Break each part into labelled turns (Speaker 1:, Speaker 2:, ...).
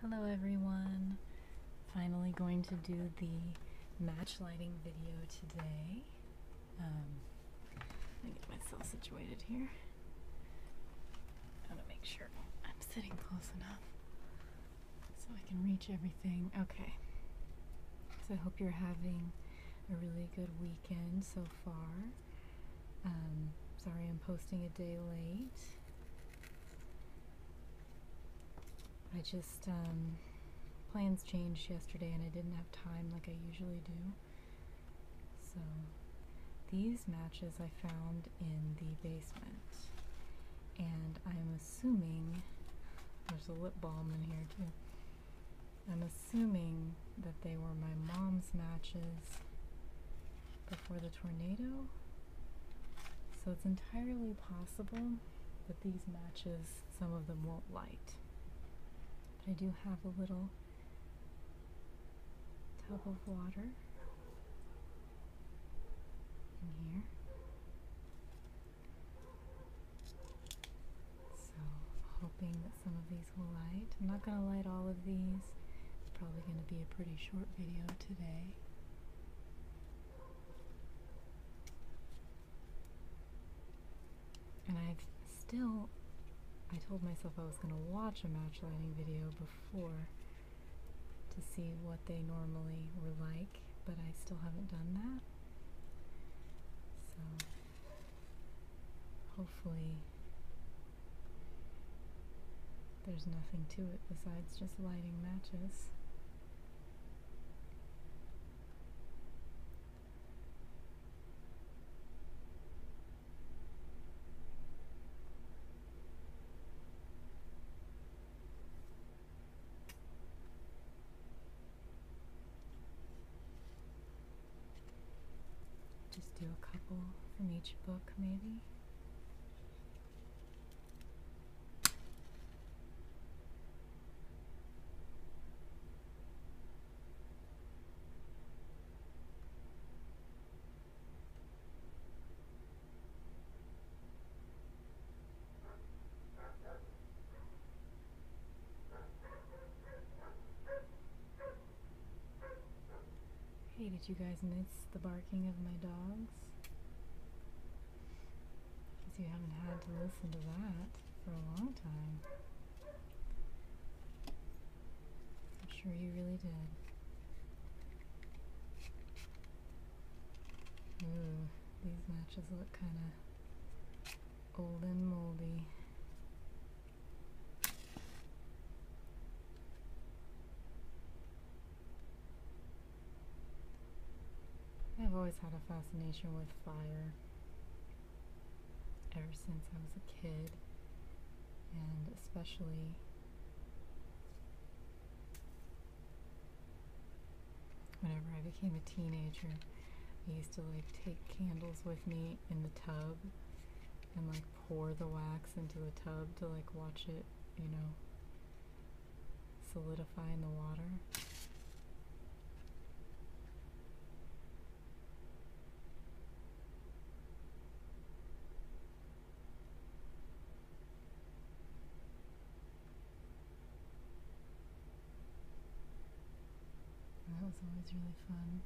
Speaker 1: Hello everyone. Finally going to do the match lighting video today. Um, let me get myself situated here. I to make sure I'm sitting close enough so I can reach everything. Okay. So I hope you're having a really good weekend so far. Um, sorry, I'm posting a day late. I just, um, plans changed yesterday and I didn't have time like I usually do. So, these matches I found in the basement. And I'm assuming, there's a lip balm in here too. I'm assuming that they were my mom's matches before the tornado. So it's entirely possible that these matches, some of them won't light. But I do have a little tub of water in here. So hoping that some of these will light. I'm not going to light all of these. It's probably going to be a pretty short video today. And i still, I told myself I was going to watch a match lighting video before to see what they normally were like, but I still haven't done that. So hopefully there's nothing to it besides just lighting matches. Just do a couple from each book, maybe. Hey, did you guys miss the barking of my dog? If you haven't had to listen to that for a long time. I'm sure you really did. Ooh, these matches look kind of old and moldy. I've always had a fascination with fire ever since I was a kid, and especially whenever I became a teenager. I used to like take candles with me in the tub and like pour the wax into the tub to like watch it, you know, solidify in the water. That was always really fun.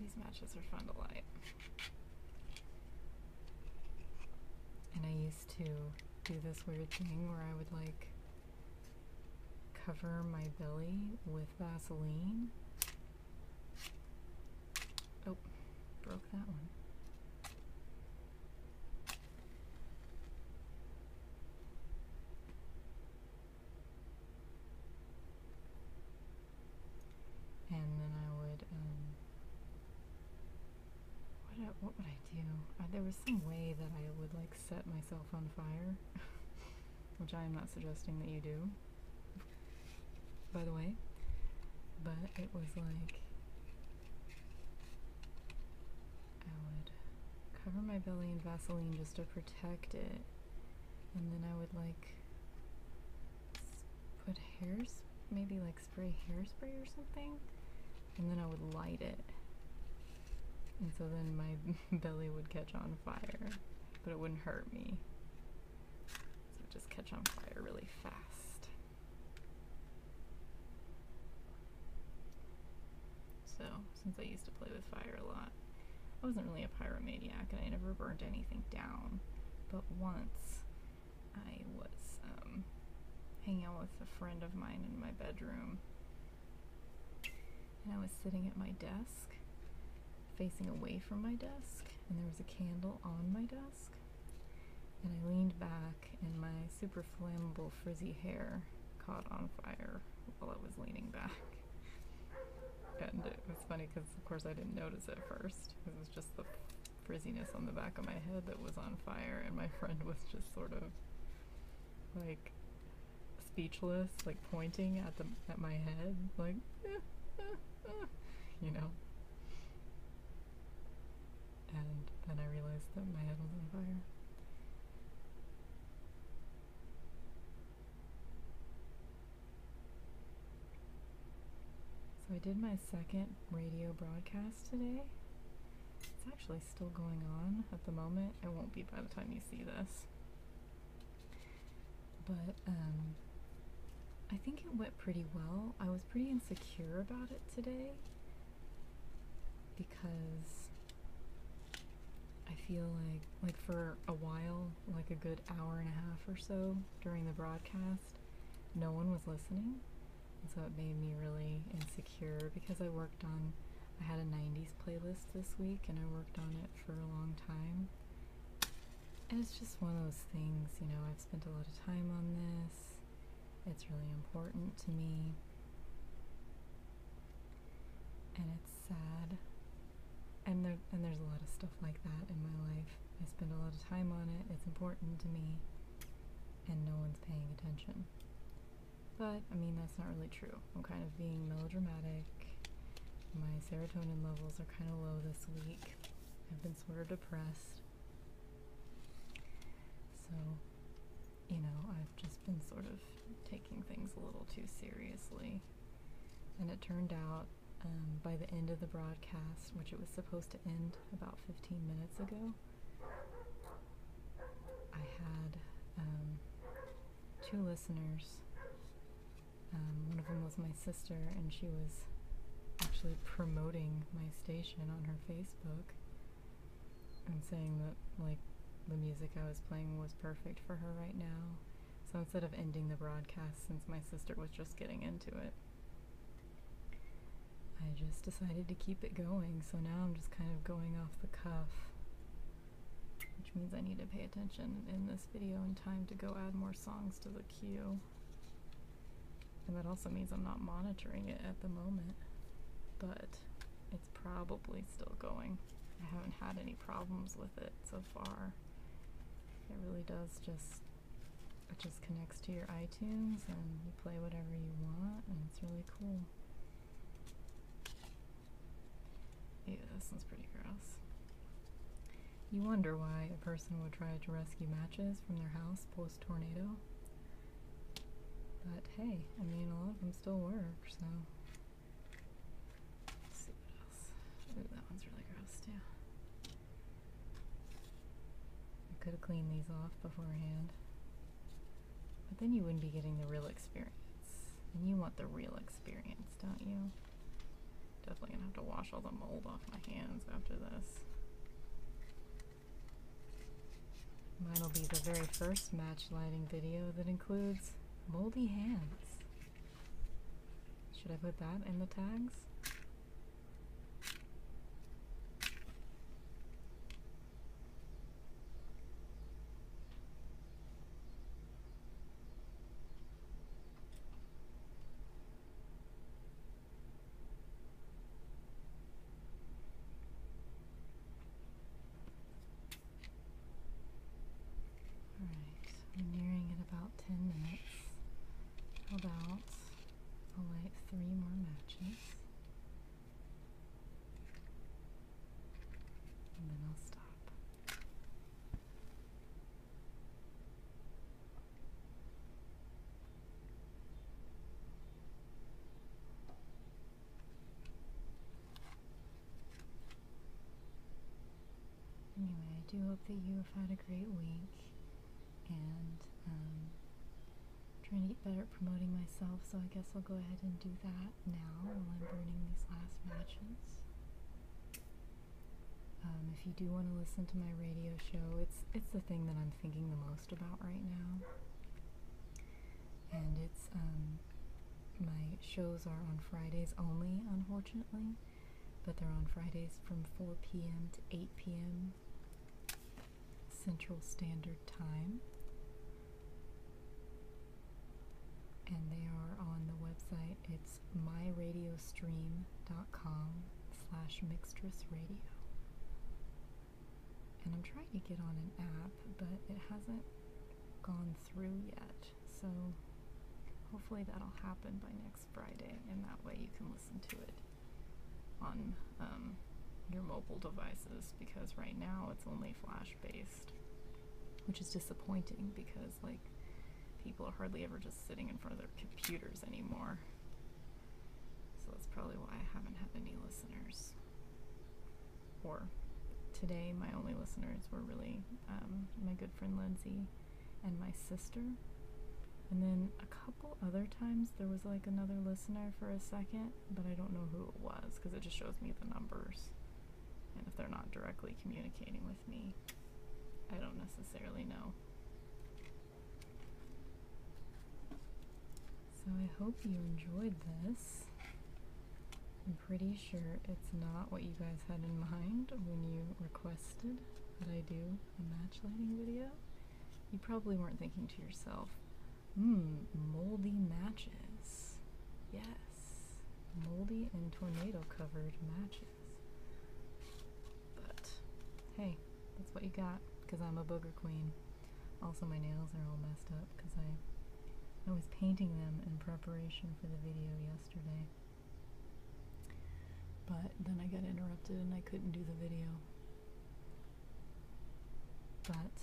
Speaker 1: These matches are fun to light. And I used to do this weird thing where I would like cover my belly with Vaseline. Oh, broke that one and then I would um, what what would I do? Uh, there was some way that I would like set myself on fire, which I am not suggesting that you do. By the way, but it was like I would cover my belly in Vaseline just to protect it, and then I would like put hairs, maybe like spray hairspray or something, and then I would light it. And so then my belly would catch on fire, but it wouldn't hurt me. So just catch on fire really fast. So, since I used to play with fire a lot, I wasn't really a pyromaniac and I never burned anything down. But once I was um, hanging out with a friend of mine in my bedroom, and I was sitting at my desk, facing away from my desk, and there was a candle on my desk. And I leaned back, and my super flammable frizzy hair caught on fire while I was leaning back. And it was funny because, of course, I didn't notice it first. It was just the frizziness on the back of my head that was on fire, and my friend was just sort of like speechless, like pointing at the at my head, like you know. And then I realized that my head was on fire. So I did my second radio broadcast today. It's actually still going on at the moment. It won't be by the time you see this. But um, I think it went pretty well. I was pretty insecure about it today because I feel like, like for a while like a good hour and a half or so during the broadcast, no one was listening. And so it made me really insecure because I worked on, I had a 90s playlist this week and I worked on it for a long time. And it's just one of those things, you know, I've spent a lot of time on this, it's really important to me, and it's sad and there and there's a lot of stuff like that in my life. I spend a lot of time on it. It's important to me, and no one's paying attention. But I mean, that's not really true. I'm kind of being melodramatic. My serotonin levels are kind of low this week. I've been sort of depressed. So, you know, I've just been sort of taking things a little too seriously. And it turned out um, by the end of the broadcast, which it was supposed to end about 15 minutes ago, I had um, two listeners. Um, one of them was my sister, and she was actually promoting my station on her Facebook and saying that, like, the music I was playing was perfect for her right now so instead of ending the broadcast, since my sister was just getting into it, I just decided to keep it going. So now I'm just kind of going off the cuff, which means I need to pay attention in this video in time to go add more songs to the queue. And that also means I'm not monitoring it at the moment, but it's probably still going. I haven't had any problems with it so far. It really does just it just connects to your iTunes and you play whatever you want, and it's really cool. Yeah, this one's pretty gross. You wonder why a person would try to rescue matches from their house post tornado. But hey, I mean, a lot of them still work, so that one's really gross too. I could have cleaned these off beforehand. But then you wouldn't be getting the real experience. And you want the real experience, don't you? Definitely gonna have to wash all the mold off my hands after this. Mine will be the very first match lighting video that includes moldy hands. Should I put that in the tags? Alright, we're nearing in about 10 minutes. How about I'll light three more matches and then I'll stop anyway, I do hope that you have had a great week, and um, I'm trying to get better at promoting myself, so I guess I'll go ahead and do that now while I'm burning these last matches. Um, if you do want to listen to my radio show, it's it's the thing that I'm thinking the most about right now, and it's um, my shows are on Fridays only, unfortunately but they're on Fridays from 4 p.m. to 8 p.m. Central Standard Time. And they are on the website. It's myradiostream.com slash mixtressradio. And I'm trying to get on an app, but it hasn't gone through yet. So hopefully that'll happen by next Friday, and that way you can listen to it on um, your mobile devices because right now it's only flash based, which is disappointing because like people are hardly ever just sitting in front of their computers anymore. So that's probably why I haven't had any listeners. Or today, my only listeners were really um, my good friend Lindsay and my sister. And then a couple other times there was like another listener for a second, but I don't know who it was because it just shows me the numbers. And if they're not directly communicating with me, I don't necessarily know. So I hope you enjoyed this. I'm pretty sure it's not what you guys had in mind when you requested that I do a match lighting video, you probably weren't thinking to yourself, hmm, moldy matches. Yes, moldy and tornado covered matches. But hey, that's what you got because I'm a booger queen. Also, my nails are all messed up because I, I was painting them in preparation for the video yesterday. But then I got interrupted and I couldn't do the video. But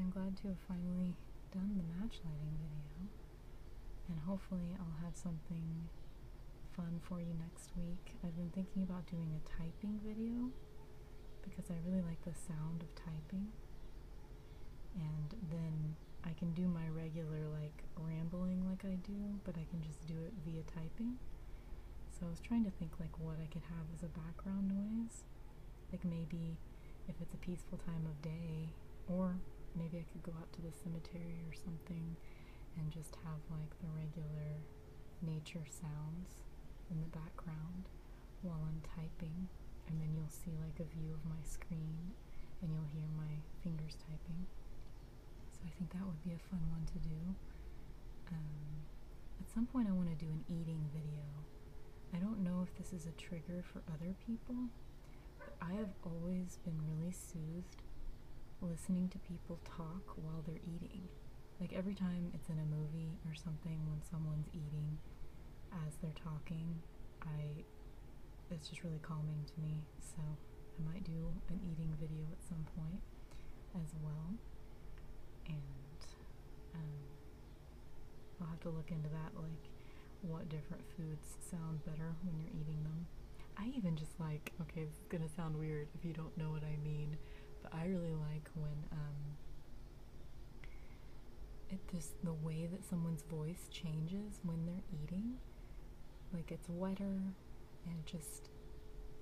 Speaker 1: I'm glad to have finally done the match lighting video. And hopefully, I'll have something fun for you next week. I've been thinking about doing a typing video because I really like the sound of typing. And then I can do my regular like rambling like I do, but I can just do it via typing. So I was trying to think like what I could have as a background noise. Like maybe if it's a peaceful time of day, or maybe I could go out to the cemetery or something and just have like the regular nature sounds in the background while I'm typing. And then you'll see like a view of my screen and you'll hear my fingers typing. So I think that would be a fun one to do. Um, at some point, I want to do an eating video. I don't know if this is a trigger for other people, but I have always been really soothed listening to people talk while they're eating. Like every time it's in a movie or something when someone's eating as they're talking, I it's just really calming to me. So I might do an eating video at some point as well, and um, I'll have to look into that, like what different foods sound better when you're eating them. I even just like okay, this is gonna sound weird if you don't know what I mean, but I really like when um, it just the way that someone's voice changes when they're eating like it's wetter and just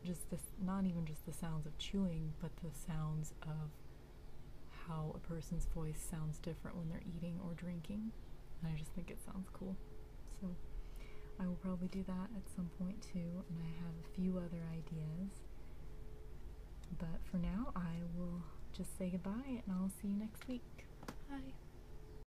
Speaker 1: just this not even just the sounds of chewing but the sounds of how a person's voice sounds different when they're eating or drinking i just think it sounds cool so i will probably do that at some point too and i have a few other ideas but for now i will just say goodbye and i'll see you next week bye